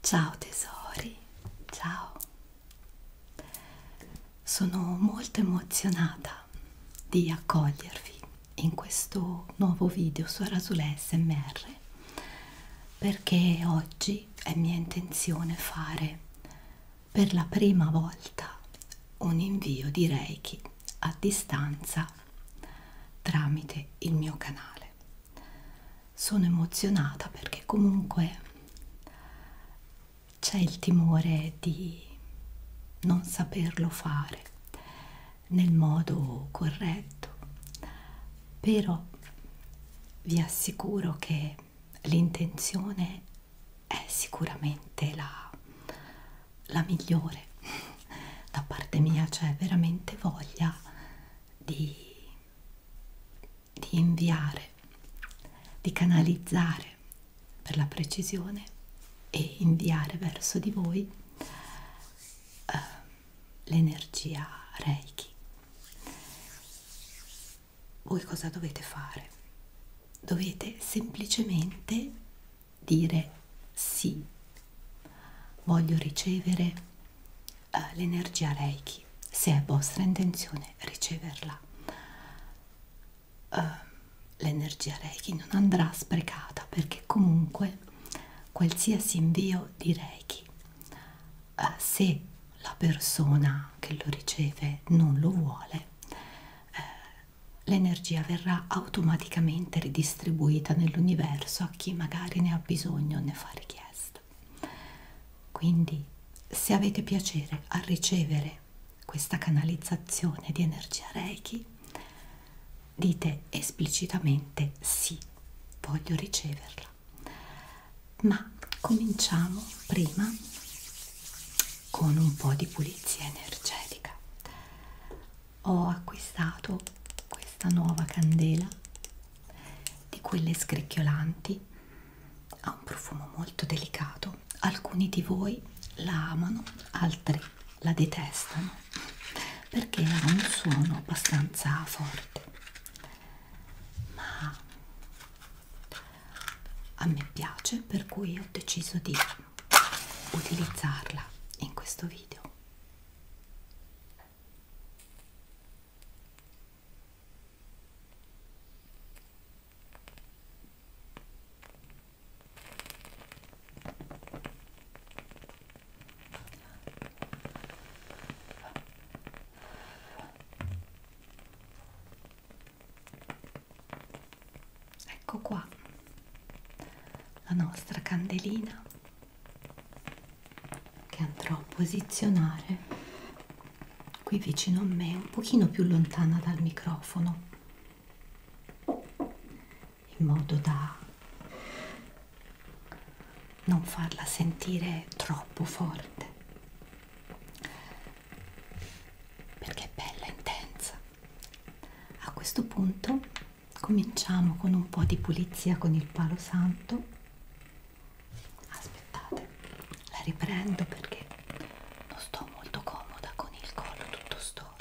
Ciao tesori, ciao. Sono molto emozionata di accogliervi in questo nuovo video su Rasule SMR perché oggi è mia intenzione fare per la prima volta un invio di Reiki a distanza tramite il mio canale. Sono emozionata perché comunque c'è il timore di non saperlo fare nel modo corretto, però vi assicuro che l'intenzione è sicuramente la, la migliore da parte mia c'è cioè veramente voglia di, di inviare di canalizzare per la precisione e inviare verso di voi eh, l'energia reiki voi cosa dovete fare dovete semplicemente dire sì, voglio ricevere uh, l'energia Reiki, se è vostra intenzione riceverla. Uh, l'energia Reiki non andrà sprecata perché comunque qualsiasi invio di Reiki, uh, se la persona che lo riceve non lo vuole, eh, l'energia verrà automaticamente ridistribuita nell'universo a chi magari ne ha bisogno o ne fa richiesta. Quindi se avete piacere a ricevere questa canalizzazione di energia Reiki, dite esplicitamente sì, voglio riceverla. Ma cominciamo prima con un po' di pulizia energetica ho acquistato questa nuova candela di quelle scricchiolanti ha un profumo molto delicato alcuni di voi la amano altri la detestano perché ha un suono abbastanza forte ma a me piace per cui ho deciso di utilizzarla in questo video Ecco qua la nostra candelina che andrò a posizionare qui vicino a me, un pochino più lontana dal microfono, in modo da non farla sentire troppo forte perché è bella intensa a questo punto cominciamo con un po' di pulizia con il palo santo. Aspettate, la riprendo perché non sto molto comoda con il collo tutto storto.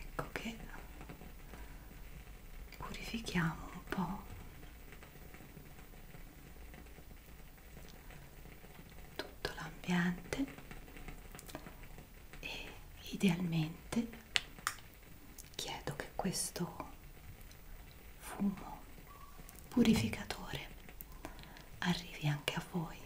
Ecco che purifichiamo un po' tutto l'ambiente e idealmente chiedo che questo fumo purificatore arrivi anche a voi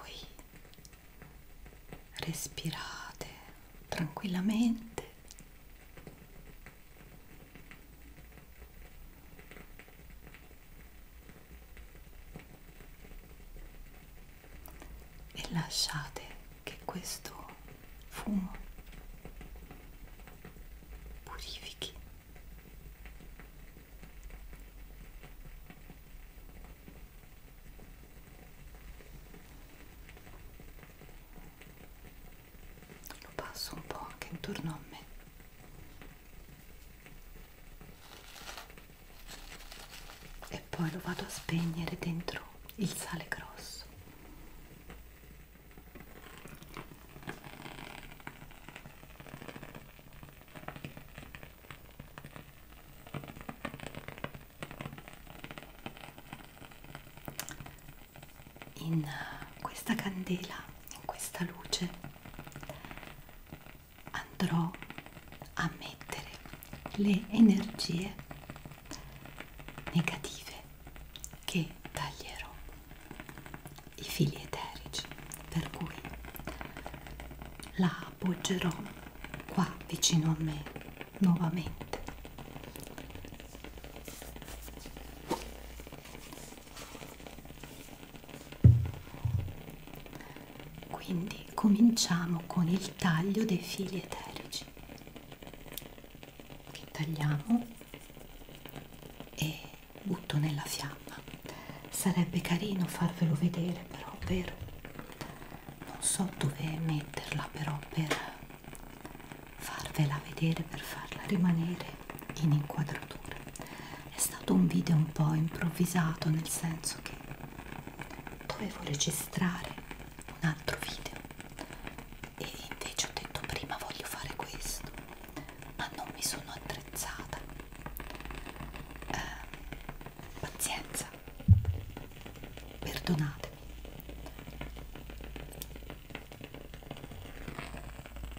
voi respirate tranquillamente e lasciate che questo fumo purifichi lo passo un po' anche intorno a me e poi lo vado a spegnere dentro il sale grosso in uh, questa candela in questa luce andrò a mettere le energie negative che taglierò i fili eterici per cui la appoggerò qua vicino a me nuovamente quindi cominciamo con il taglio dei fili eterici che tagliamo e butto nella fiamma. Sarebbe carino farvelo vedere però, vero? Non so dove metterla però per farvela vedere, per farla rimanere in inquadratura è stato un video un po' improvvisato nel senso che dovevo registrare un altro video e invece ho detto prima voglio fare questo ma non mi sono attrezzata eh, pazienza perdonatemi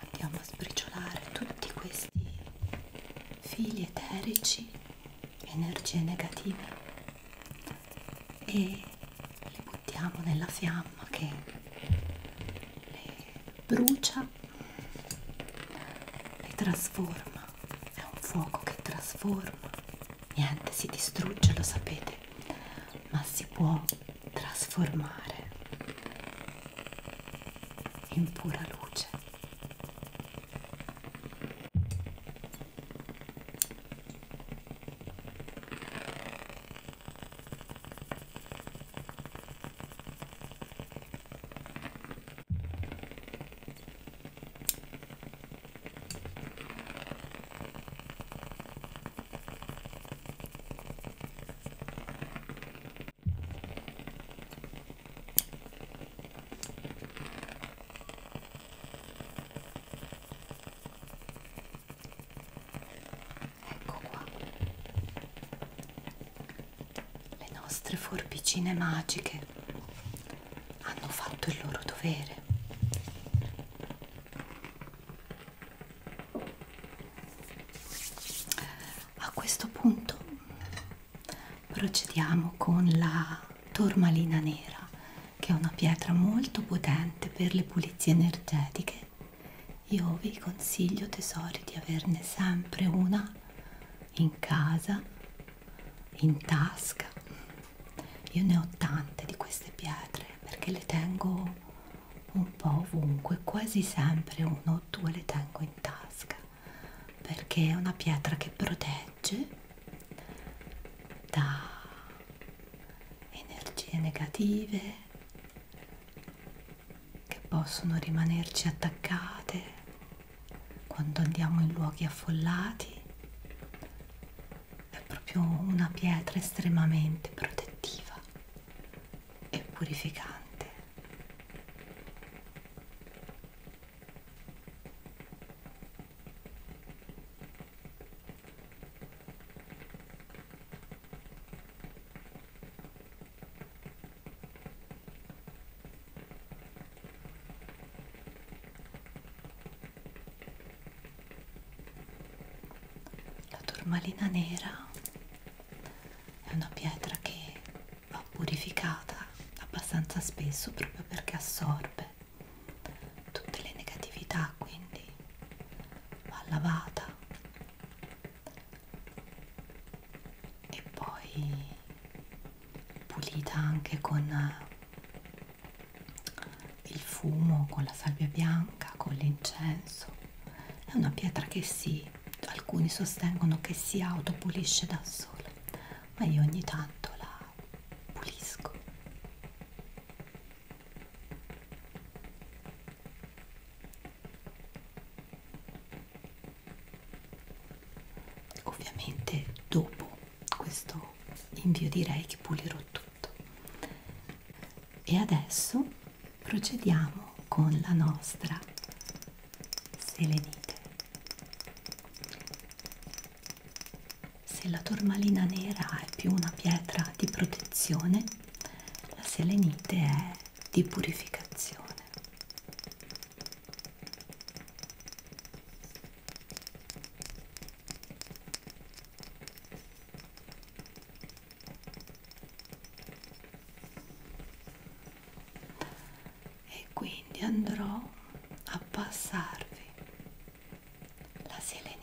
Andiamo a sbriciolare tutti questi fili eterici, energie negative e li buttiamo nella fiamma che le brucia, le trasforma. È un fuoco che trasforma, niente si distrugge, lo sapete, ma si può trasformare in pura luce. Ecco qua le nostre forbicine magiche hanno fatto il loro dovere a questo punto procediamo con la tormalina nera che è una pietra molto potente per le pulizie energetiche io vi consiglio tesori di averne sempre una in casa in tasca io ne ho tante di queste pietre perché le tengo un po' ovunque, quasi sempre uno o due le tengo in tasca perché è una pietra che protegge da energie negative che possono rimanerci attaccate quando andiamo in luoghi affollati è proprio una pietra estremamente protettiva e purificante. La turmalina nera è una pietra che va purificata abbastanza spesso proprio perché assorbe tutte le negatività, quindi va lavata e poi pulita anche con il fumo, con la salvia bianca, con l'incenso è una pietra che si, alcuni sostengono che si autopulisce da sola, ma io ogni tanto la pulisco. Ovviamente dopo questo invio direi che pulirò tutto. E adesso procediamo con la nostra selenite. Se la tormalina nera è più una pietra di protezione, la selenite è di purificazione e quindi andrò a passarvi la selenite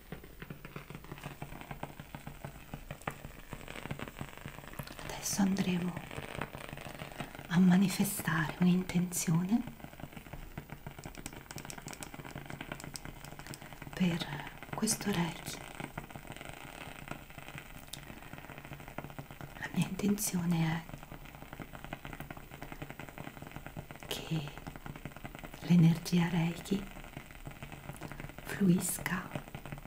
Adesso andremo a manifestare un'intenzione per questo Reiki. La mia intenzione è che l'energia Reiki fluisca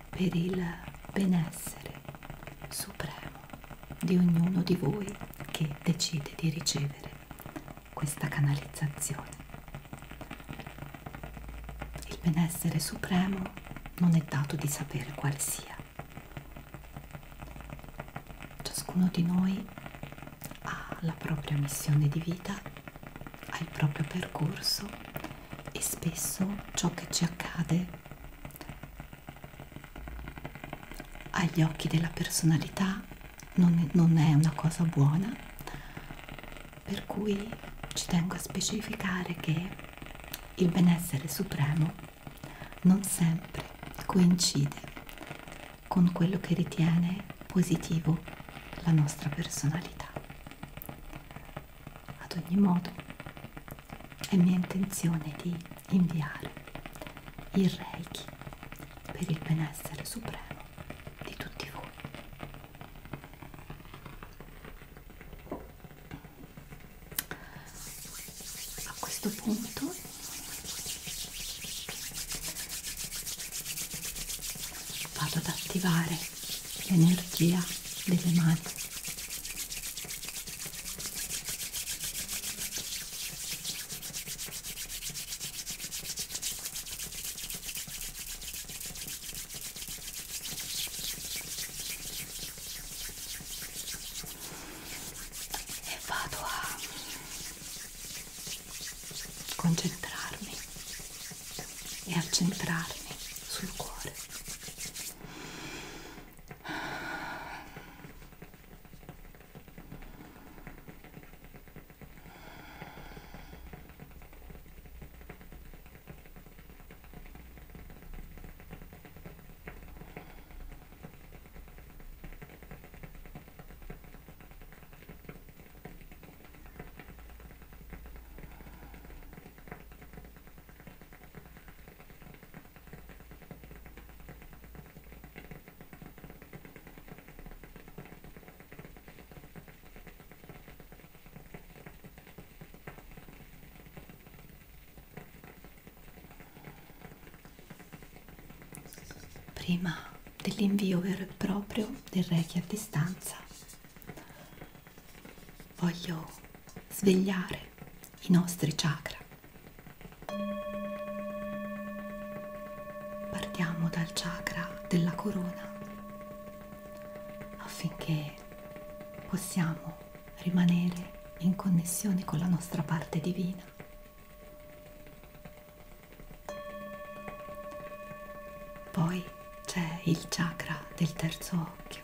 per il benessere supremo di ognuno di voi che decide di ricevere questa canalizzazione. Il benessere supremo non è dato di sapere quale sia. Ciascuno di noi alla propria missione di vita, al proprio percorso e spesso ciò che ci accade agli occhi della personalità non è, non è una cosa buona, per cui ci tengo a specificare che il benessere supremo non sempre coincide con quello che ritiene positivo la nostra personalità. Ad ogni modo è mia intenzione di inviare il Reiki per il benessere supremo di tutti voi. A questo punto vado ad attivare l'energia delle mani e vado a concentrarmi e a centrarmi sul cuore prima dell'invio vero e proprio del Reiki a distanza. Voglio svegliare i nostri chakra. Partiamo dal chakra della corona affinché possiamo rimanere in connessione con la nostra parte divina poi c'è il chakra del terzo occhio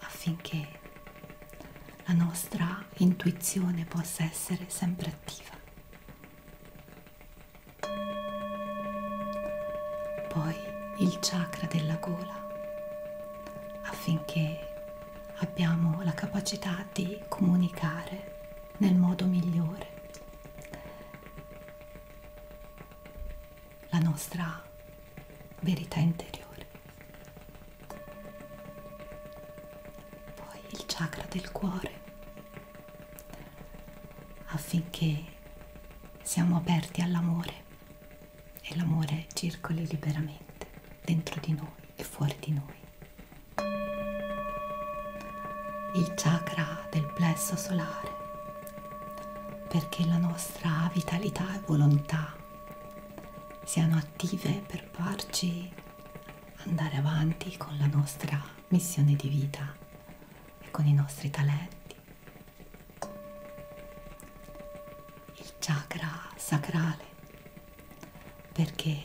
affinché la nostra intuizione possa essere sempre attiva. Poi il chakra della gola affinché abbiamo la capacità di comunicare nel modo migliore la nostra verità interiore. Poi il chakra del cuore, affinché siamo aperti all'amore e l'amore circoli liberamente dentro di noi e fuori di noi il chakra del plesso solare perché la nostra vitalità e volontà siano attive per farci andare avanti con la nostra missione di vita e con i nostri talenti. Il chakra sacrale perché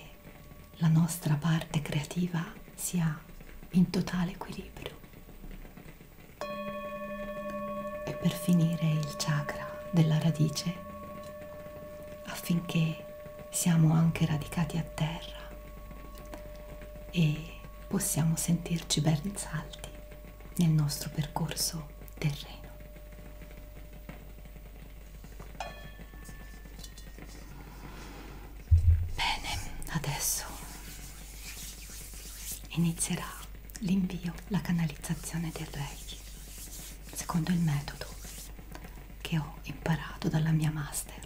la nostra parte creativa sia in totale equilibrio. E per finire il chakra della radice, affinché siamo anche radicati a terra e possiamo sentirci ben salti nel nostro percorso terreno. Bene, adesso inizierà l'invio, la canalizzazione del Reiki, secondo il metodo che ho imparato dalla mia master.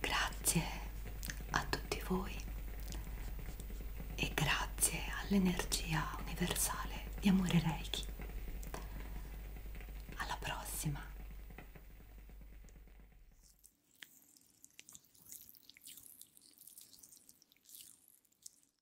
Grazie a tutti voi e grazie all'energia universale di amore Reiki. Alla prossima.